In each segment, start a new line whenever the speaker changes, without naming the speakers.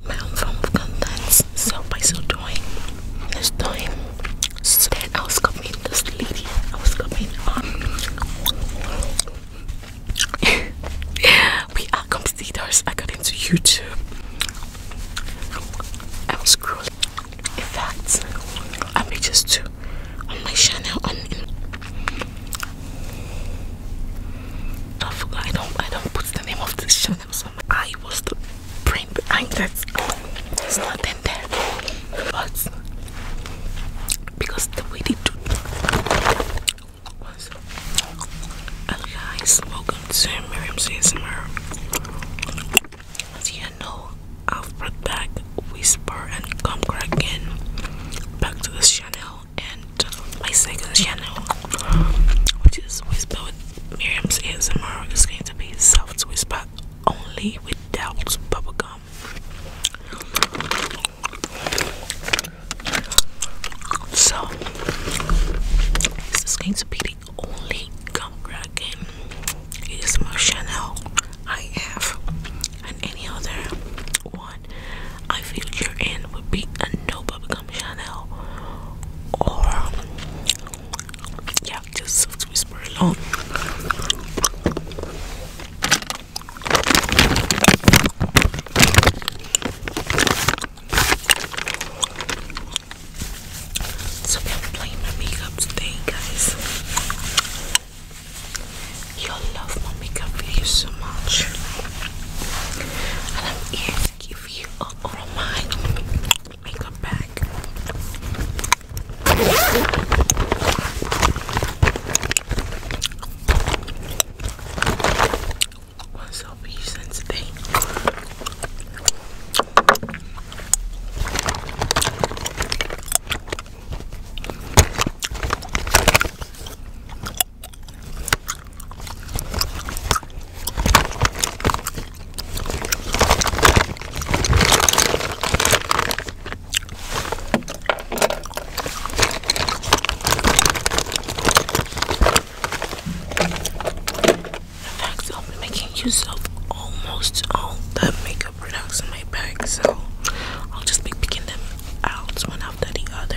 my own form of contents. So by so doing, this time, instead I was coming this lady. I was copying um We are competitors got into YouTube. I was scrolling. In fact, I'm just too on my channel on I forgot I don't I don't put the name of this channel I was the brain behind that. It's not in there, but because the way they do was. Hello guys, welcome to Miriam's ASMR. As you know, I've brought back Whisper and Come Crack back to this channel, and my second channel, which is Whisper with Miriam's ASMR, is going to be soft whisper only with bubble gum. So, this is going to be the only gum crack cracking my channel I have, and any other one I feature in would be a no bubble gum. Chanel or yeah, just Soft Whisper alone. So I'm playing my makeup today, guys. You'll love my makeup videos so much. I'm here give you all my makeup back. What's up you since fact I've been making use of almost all the makeup products in my bag, so I'll just be picking them out one after the other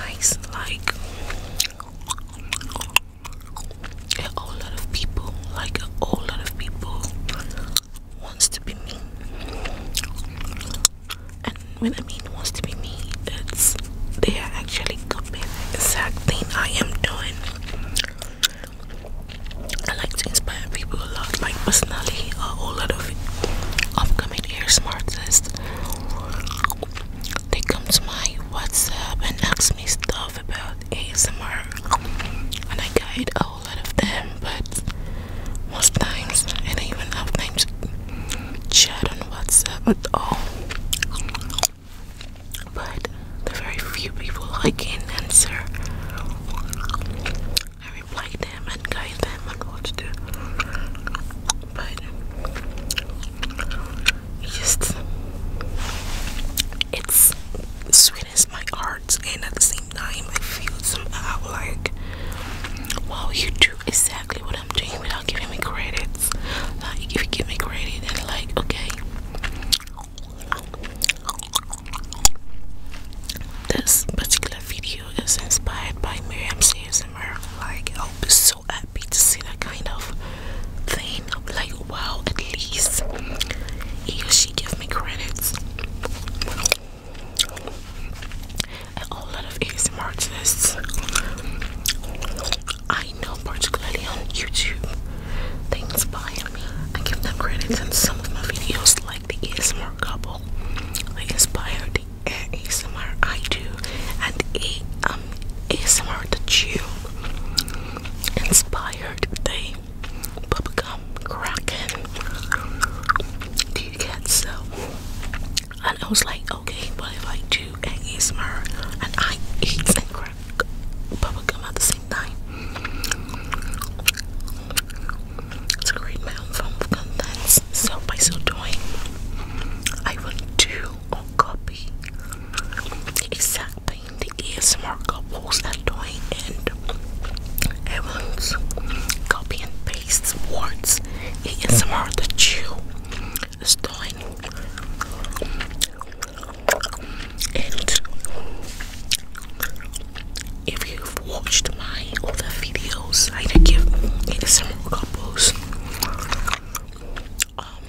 likes like a whole lot of people, like a whole lot of people wants to be me. And when I mean wants to be me, it's they are actually copying the exact thing I am doing. I like to inspire people a lot, like personally, uh, a whole lot of upcoming ASMR artists. They come to my WhatsApp and ask me stuff about ASMR, and I guide a whole lot of them. But most times, I don't even have time to chat on WhatsApp at all. But the very few people I can answer I replied them and guide them on what to do. But just it's sweetens my heart and at the same time I feel somehow like well you do exactly what I'm doing without giving me credits. Like if you give me credit and like okay this particular video is inspired by Miriam Seymour. Like, I was so happy to see that kind of thing. Like, wow, at least he or she gave me credits. A whole lot of ASMR artists I know, particularly on YouTube, they inspire me. I give them credits in some of my videos like the ASMR couple. I inspire the ASMR I do and um, the um ASMR that you inspired they bubblegum cracking. Do you get so? And I was like, okay, but if I do ASMR and I eat and crack bubblegum at the same thing. It's great my own form of contents. So by so doing, I will do or copy the exact thing the ASMR couples are doing and I will copy and paste words ASMR that you is doing and if you've watched my other videos, I give ASMR couples. Um,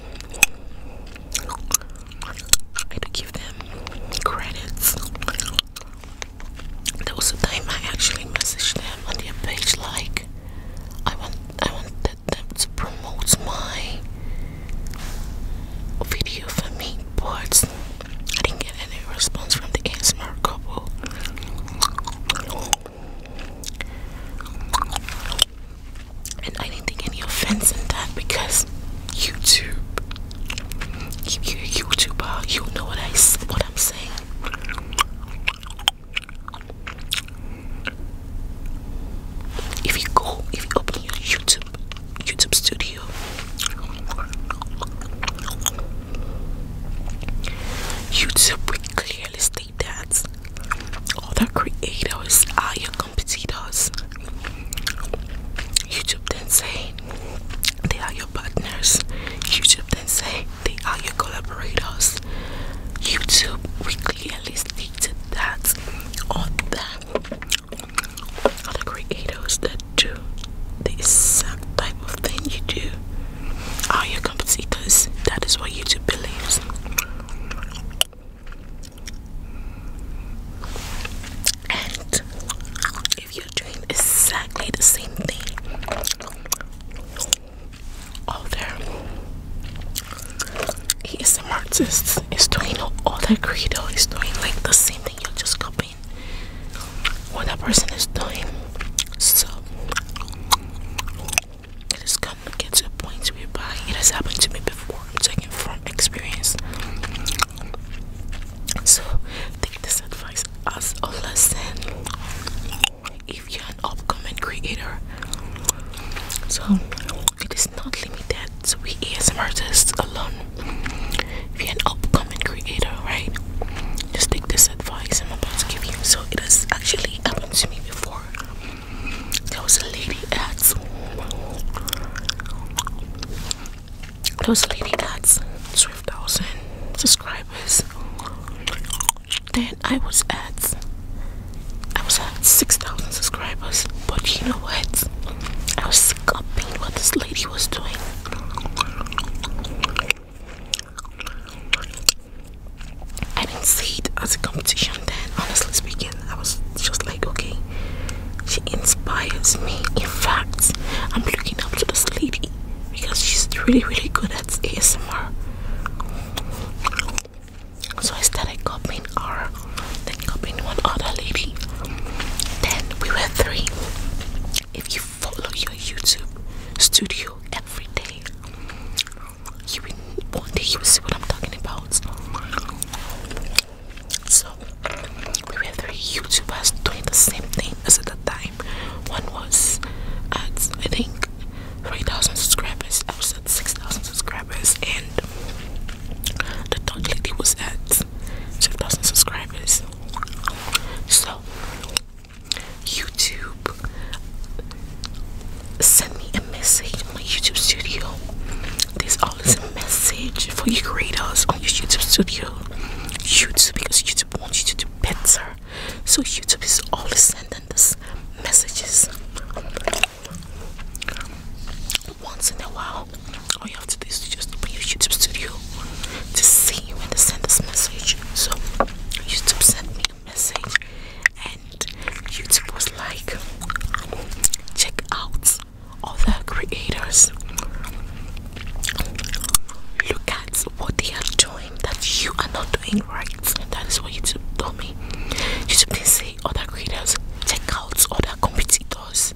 I had give them credits. That was the time I actually messaged them on the page like I want I wanted them to promote my video for me but I didn't get any response from the ASMR couple. And I didn't take any offense in that because YouTube, if you you know what I what I'm saying. If you go, if you open your YouTube YouTube studio. YouTube would clearly state that other creators are your competitors. YouTube then say they are your partners. YouTube then say they are your collaborators. YouTube we clearly stated that other other creators that do the exact type of thing you do are your competitors. That is what YouTube believes. And if you're doing exactly the same thing other ASM artist is doing all that credo is doing like the same thing you're just copying doing what a person is doing so it is come to get to a whereby it has happened to me before i'm taking from experience so take this advice as a lesson if you're an upcoming creator so it is not limited to we as artists alone if you're an upcoming creator, right? Just take this advice I'm about to give you. So it has actually happened to me before. There was a lady at there was a lady that's twelve thousand subscribers. Then I was at I was at six thousand subscribers, but you know what? I was scuffing what this lady was doing. I didn't see it as a competition then, honestly speaking. I was just like, okay, she inspires me. In fact, I'm looking up to this lady because she's really, really good at ASMR. So I started copying her, then copying one other lady. Then we were three if you follow your YouTube studio every day, you will, one day you will see what I'm talking about. So we were three YouTubers doing the same thing as at the time. One was at I think 3,000 subscribers. I was at 6,000 subscribers, and the third lady was at subscribers. subscribers. So, YouTube send me a message on my YouTube studio. There's always a message for you creators on your YouTube studio. YouTube, because YouTube wants you to do better. So, YouTube is always sending us messages. Once in a while, all you have to do is just open your YouTube studio to see you when they send this message. So YouTube sent me a message and YouTube was like check out other creators. Look at what they are doing that you are not doing right. That is what YouTube told me. YouTube didn't say other creators, check out other competitors.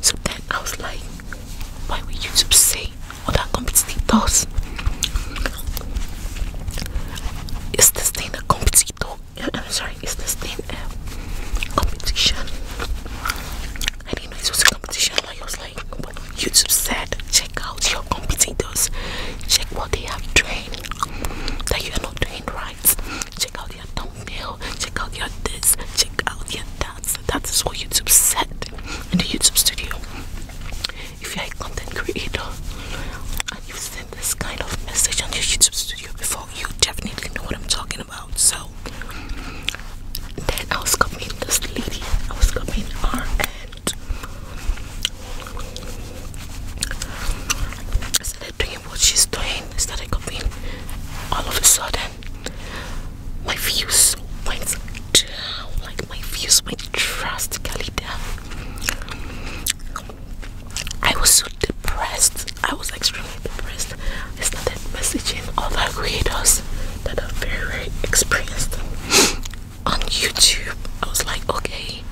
So then I was like, why would YouTube say all that competitive does? Is this thing a competitor? I'm sorry, is this thing um, a competition? I didn't know it was a competition. Like I was like, YouTube said, check out your competitors, check what they have trained that you are not doing right. Check out your thumbnail, check out your this, check out your that's that's this YouTube said in the YouTube studio. If you're a content creator and you've sent this kind of message on your YouTube studio before, you definitely know what I'm talking about. So then I was copying this lady, I was coming, and started doing what she's doing, started copying all of a sudden my views went down. Like my views went drastically down. I was so depressed. I was extremely depressed. I started messaging other creators that are very, experienced on YouTube. I was like, okay,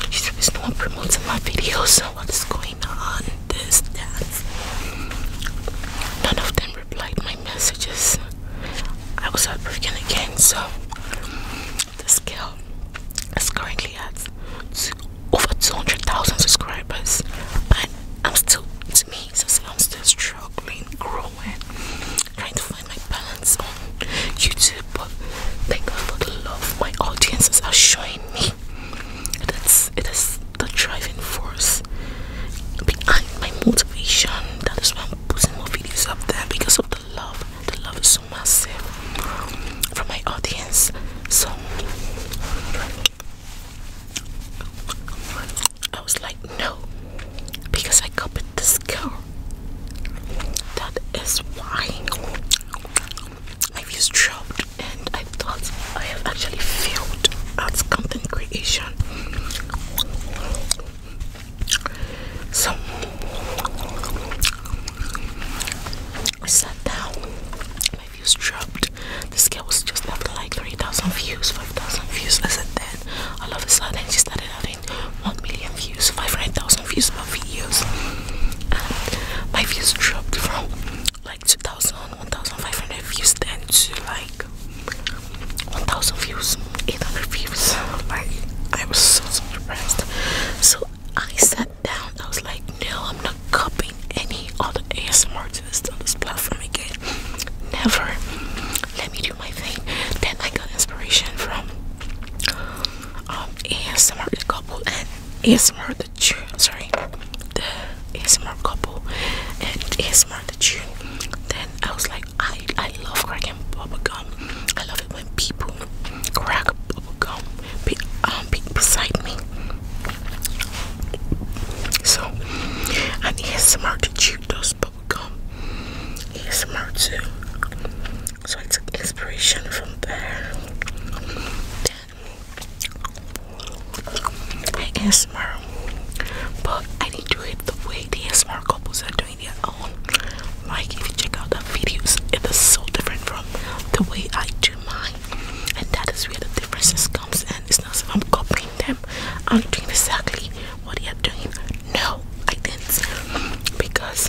YouTube no one promoting my videos. So what is going on? This, that. None of them replied my messages. I was out heartbroken again, so this girl is currently at over 200,000 subscribers, and I'm still, to me, since I'm still struggling, growing, trying to find my balance on YouTube. But thank God for the love my audiences are showing me. It is, it is the driving force behind my motivation. That is why I'm putting more videos up there because of the love. The love is so massive from my audience. So I was like, no, because I copied this girl. That is why I've just dropped, and I thought I have actually failed at content creation. So I sat my views dropped. The scale was just after like 3,000 views, 5,000 views. I said then all of a sudden she started having 1 million views, 500,000 views per videos. And my views dropped from like 2000 1500 views then to like 1000 views 800 views like i was so surprised so i sat down i was like no i'm not copying any other asmr artists on this platform again never let me do my thing then i got inspiration from um asmr the couple and asmr the sorry the smart couple and ASMR the tune. Then I was like, I I love cracking bubble gum. I love it when people crack bubble gum be, um, be beside me. So and ASMR the chew does bubble gum. Smart too. So I took inspiration from there. I am ASMR, but I didn't do it the way the ASMR couples are doing their own. Like, if you check out the videos, it is so different from the way I do mine, and that is where the differences comes And It's not so I'm copying them, I'm doing exactly what they are doing. No, I didn't, because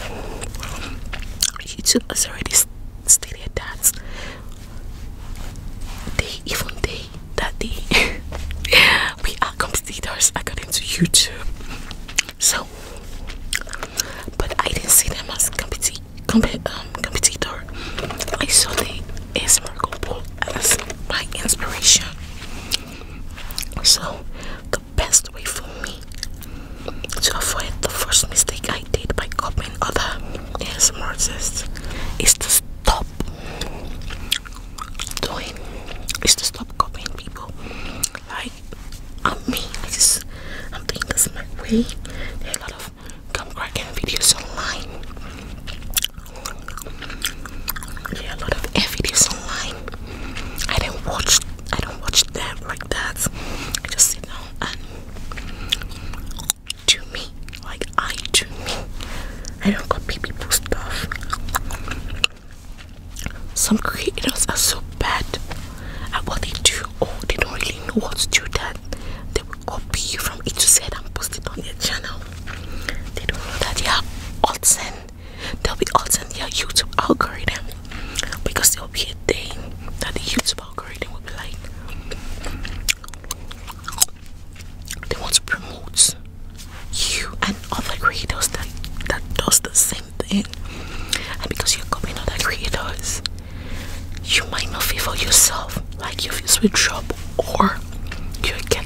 YouTube has already stated that they even they that day we are competitors according to YouTube. So, but I didn't see them as competi comp um, competitor. I saw the ASMR couple as my inspiration. So, the best way for me to avoid the first mistake I did by copying other ASMR is to stop doing is to stop copying people. Like I'm me, I just I'm doing this my way. There are a lot of gum cracking videos online. There are a lot of air videos online. I don't watch I don't watch them like that. I just sit down and do me like I do me. I don't copy people's stuff. Some creators are so bad at what they do or oh, they don't really know what to do Then they will copy you from each to and post it on their channel. They don't know that they are odds they'll be odds their YouTube algorithm because there'll be a day that the YouTube algorithm will be like they want to promote you and other creators that that does the same thing and because you're copying other creators you might not feel for yourself like you feel with job or you're getting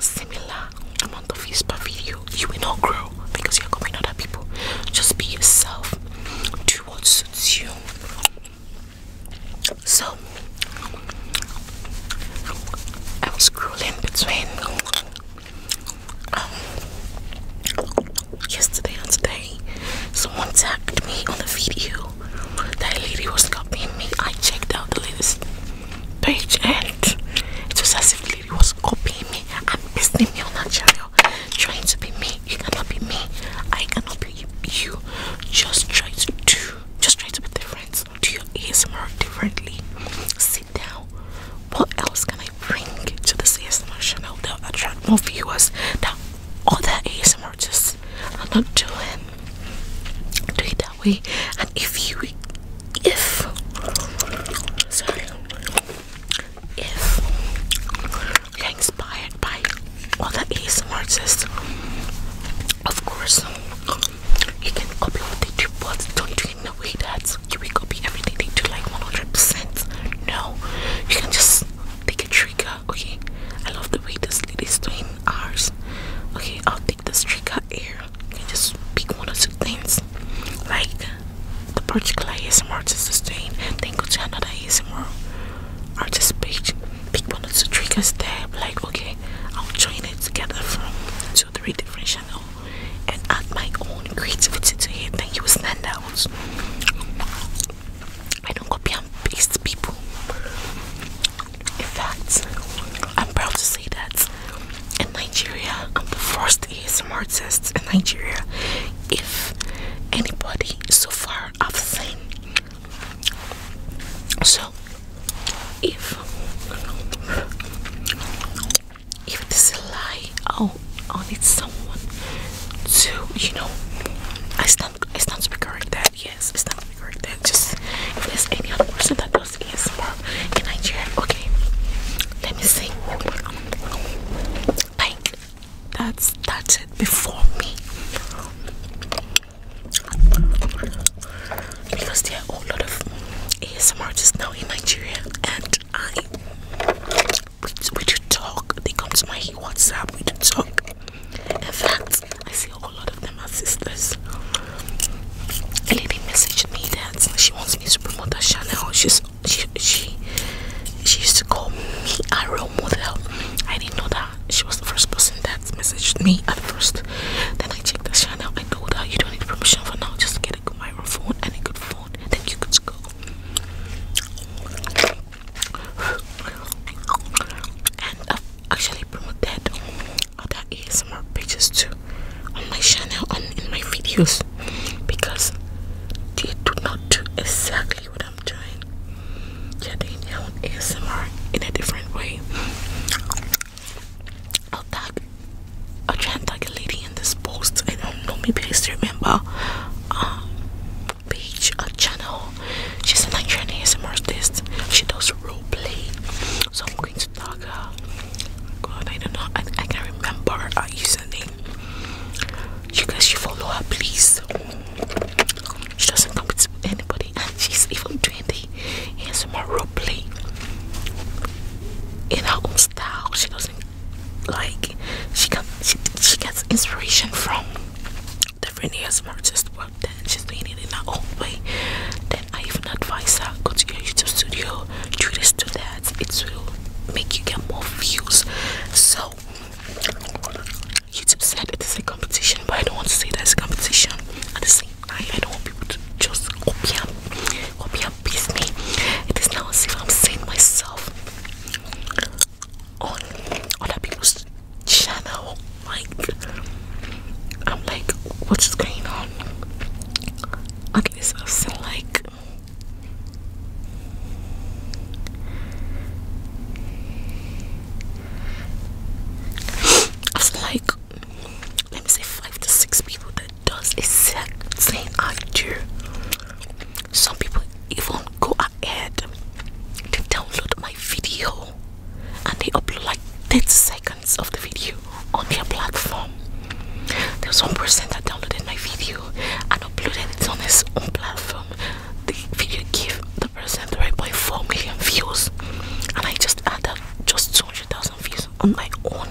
similar amount of views per video you will not grow because you're copying other people just be yourself do what suits you so I was scrolling between um, yesterday and today. Someone tagged me on the video that lady was copying me. I checked out the latest page and it was as if the lady was copying me I'm pissing me on her channel, trying to be me. You cannot be me. I cannot be you. Just try to do just try to be different do your asmr differently sit down what else can i bring to the asmr channel that attract more viewers that other asmr artists are not doing do it that way and if you if sorry if you're inspired by other asmr artists of course you can copy what they but don't do it in way that you will copy everything they do like 100%. No, you can just take a trigger. Okay, I love the way this lady's doing ours. Okay, I'll take this trigger here. You can just pick one or two things like the particular ASMR artist is doing, then go to another ASMR artist page pick one of the triggers like okay I'll join it together from two three different channels and add my own creativity to it then you will I don't copy and paste people in fact I'm proud to say that in Nigeria I'm the first ASMR artist in Nigeria if anybody so far I've seen so if if this lie oh on it someone to you know I stand it's not to be that yes it's not to be that just if there's any other person that does ASMR in Nigeria okay let me see like that's that's it before me because there are a lot of ASMR just now in Nigeria and I would we do talk they come to my WhatsApp we do talk in fact I see a lot of them are sisters a lady messaged me that she wants me to promote her channel she's she she she used to call me a role model I didn't know that she was the first person that messaged me at first. Then I checked the channel. I told her you don't need permission for now. Just get a good microphone and a good phone. Then you could go. And I've actually promoted other ASMR pages too on my channel and in my videos because they do not do exactly what I'm doing getting down ASMR in a different way. I'll tag a chant like a lady in this post. I don't know, maybe I still remember um page a channel. She's an Nigerian ASMR artist. She does role play. So I'm going to tag her. God, I don't know. I, I can't remember her username. You guys should follow her please. She doesn't compete with anybody and she's even doing the play ASMR role play in her own style. She doesn't like she got she, gets inspiration from different ASMR artists, but then she's doing it in her own way. Then I even advise her go to your YouTube studio, do this, do that. It will make you get more views. So YouTube said it is a competition, but I don't want to say that it's a competition. At the same I, don't want people to just copy and, copy and please me. It is now as if I'm seeing myself on other people's channel. Like, I'm like, what is going on? At least I've like. I was like let me say five to six people that does exact same idea. Some people even go ahead to download my video and they upload like ten seconds of the video on their platform. There's one person that downloaded my video and uploaded it on his own platform. The video gave the person 3.4 million views, and I just just 200,000 views on my own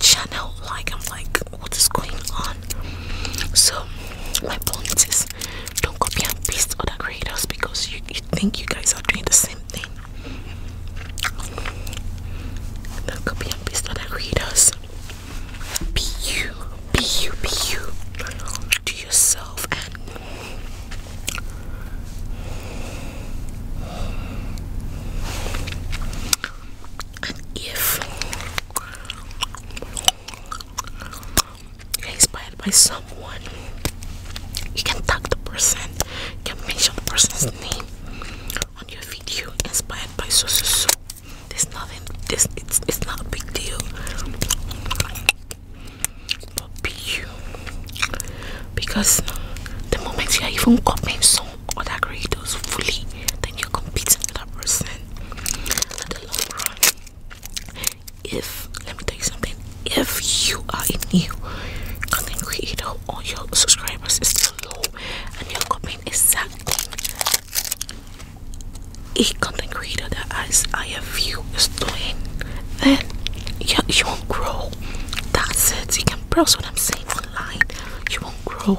channel like i'm like what is going on so my point is don't copy and paste other creators because you, think you guys are doing the same thing don't copy and paste other creators be you be you be you do yourself and if inspired by someone, you can tag the person, you can mention the person's hmm. name on your video inspired by so so so. There's nothing, this it's, it's not a big deal but you because the moment you are even copying some other creators fully then you're competing with that person at the long run if let me tell you something if you are a new content creator or your subscribers is still low and you're competing exactly a something greater that as I have you is doing, then you, you won't grow. That's it. You can browse what I'm saying You won't grow.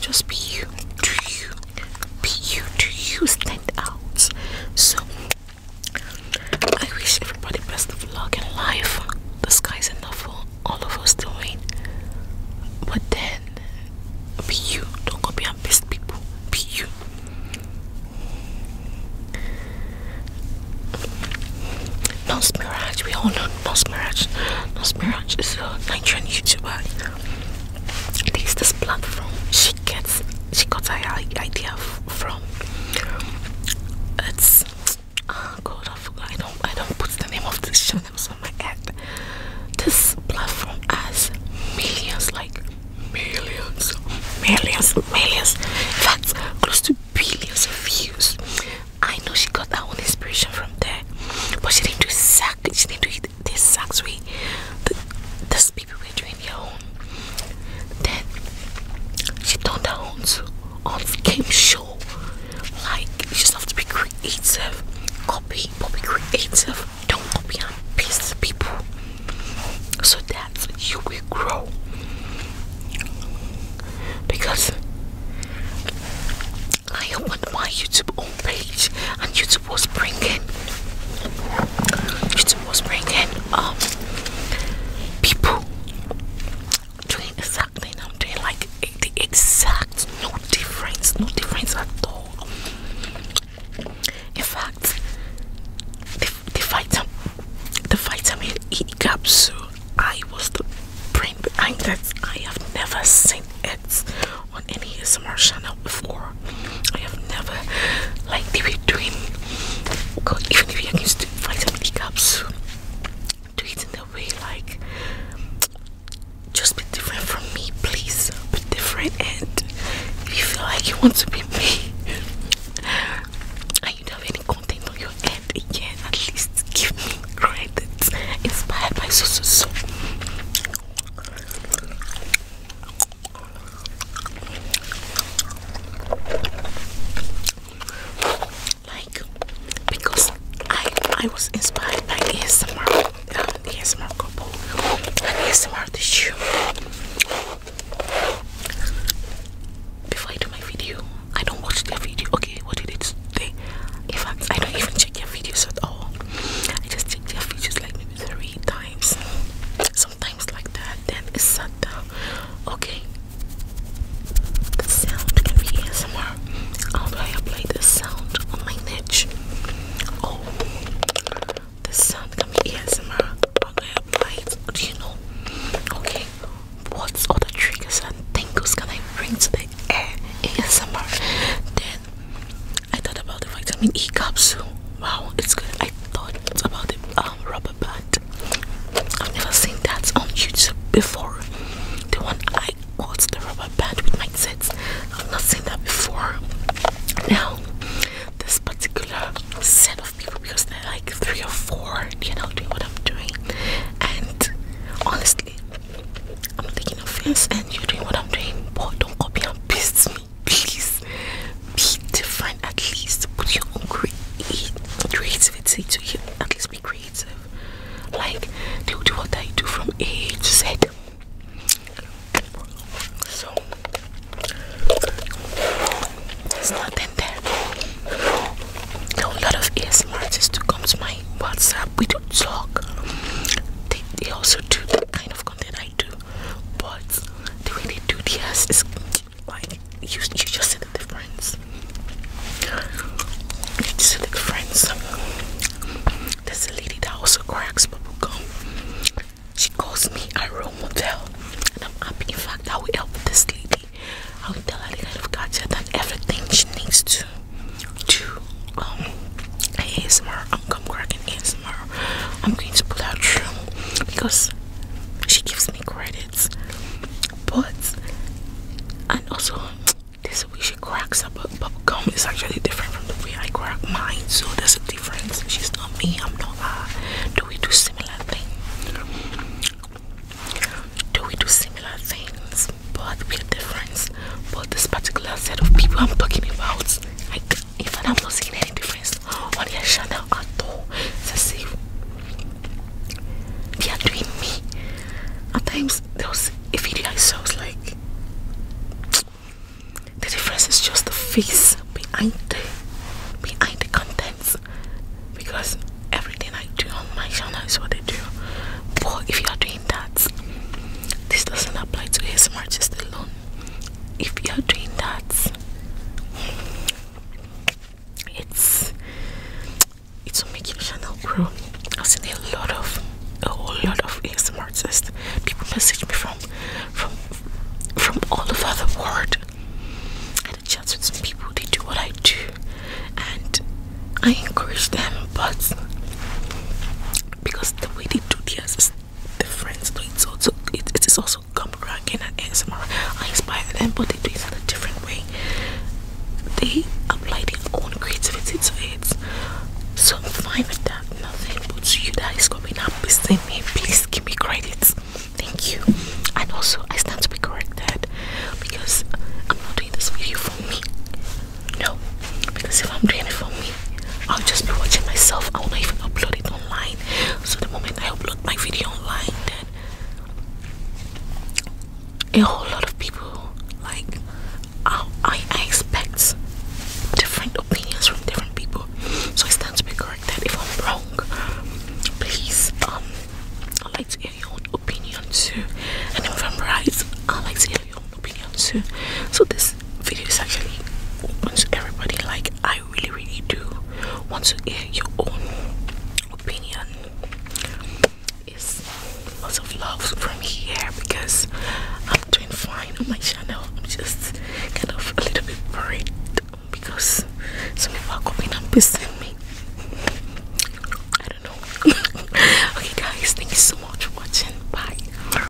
Just be you do you be you do you stand out so I wish everybody best of luck in life the sky's enough for all of us to win but then be you don't go be our best people be you Nos Mirage, we all know Nos Mirage. Nos Mirage is a Nigerian YouTuber this platform she gets she got her idea from it's ah, god I forgot I don't I don't put the name of this channel on my ad this platform has millions like millions millions millions in fact close to billions of views I know she got that inspiration from there but she didn't do exactly she didn't do it this sucks, we. the this people were doing their own then she turned her own on game show like you just have to be creative copy but be creative don't copy on and of people so that you will grow because I opened my YouTube homepage, and YouTube was bringing YouTube was bringing um people doing exactly I'm doing like the exact no difference, no difference at all. In fact, the, the vitamin the vitamin E capsule I was the brain behind that I have never seen it on any ASMR channel before. I have never like they were doing God, even if you're used to vitamin D cups, do it in a way like just be different from me, please. Be different and if you feel like you want to be me and don't have any content on your end again, at least give me credit. Inspired by so like because I I was inspired by ASMR um the ASMR uh, couple and ASMR the shoe. Before I do my video, I don't watch their video. Okay, what did it say? In fact, I don't even check their videos at all. I just check their videos like three times sometimes like that then it's shut down okay the sound can be ASMR how do I apply the sound on my niche oh the sound can be ASMR how do I apply it do you know okay what's all the triggers and can I bring to the air ASMR then I thought about the vitamin E capsule. Wow, it's good. I thought about the um, rubber band. I've never seen that on YouTube before. The one I got, the rubber band with my sets. I've not seen that before. Now, this particular set of people, because they're like three or 4 you they're not doing what I'm doing. And honestly, I'm taking offense and you're doing what I'm doing, boy. don't copy and paste me please be different at least put your own creativity to you at least be creative like they will do what I do from age to so there's nothing there there a lot of ASMR to come to my WhatsApp we do talk they, they also do that kind of content I do. But do the 2 is like you, you just see the difference. You just see the difference. There's a lady that also cracks bubble gum. She calls me a role model, and I'm happy. In fact, I will help this lady. I will tell her the kind of gadget and everything she needs to do um ASMR, I'm come cracking ASMR. I'm going to pull out True because she gives me credits. But and also this way she cracks up bubble gum is actually different from the way I crack mine, so there's a difference. She's not me, I'm not her. Uh, do we do similar things? Do we do similar things? But we're different. But this particular set of people I'm talking about, like even I'm not seeing any difference on your channel at all. Since they are doing me. At times those was a video I was like the difference is just the face behind the behind the contents because everything I do on my channel is what they do. But if you are doing that, this doesn't apply to ASMR just alone if you're doing that it's it's will make your channel grow i've seen a lot of a whole lot of asmr artists people message me from from from all over the world i had a chat with some people they do what i do and i encourage them but because the way they do theirs is the friends do it it is also gum cracking and ASMR. I inspire them, but they do in a different way. They apply their own creativity to it. So I'm fine with that. Nothing but you that is coming up Please give me credits. Thank you. And also I stand to be corrected because I'm not doing this video for me. No, because if I'm doing it for me, i'll just be watching myself i won't even upload it online so the moment i upload my video online then a whole lot of people like I, expect different opinions from different people so i stand to be corrected if i'm wrong please um i'd like to hear your opinion too and if i'm right i'd like to hear your own opinion too so this video is actually open to everybody like i really really do want to hear your own opinion it's lots of love from here because i'm doing fine on my channel i'm just kind of a little bit worried because some people are coming and pissing me i don't know okay guys thank you so much for watching bye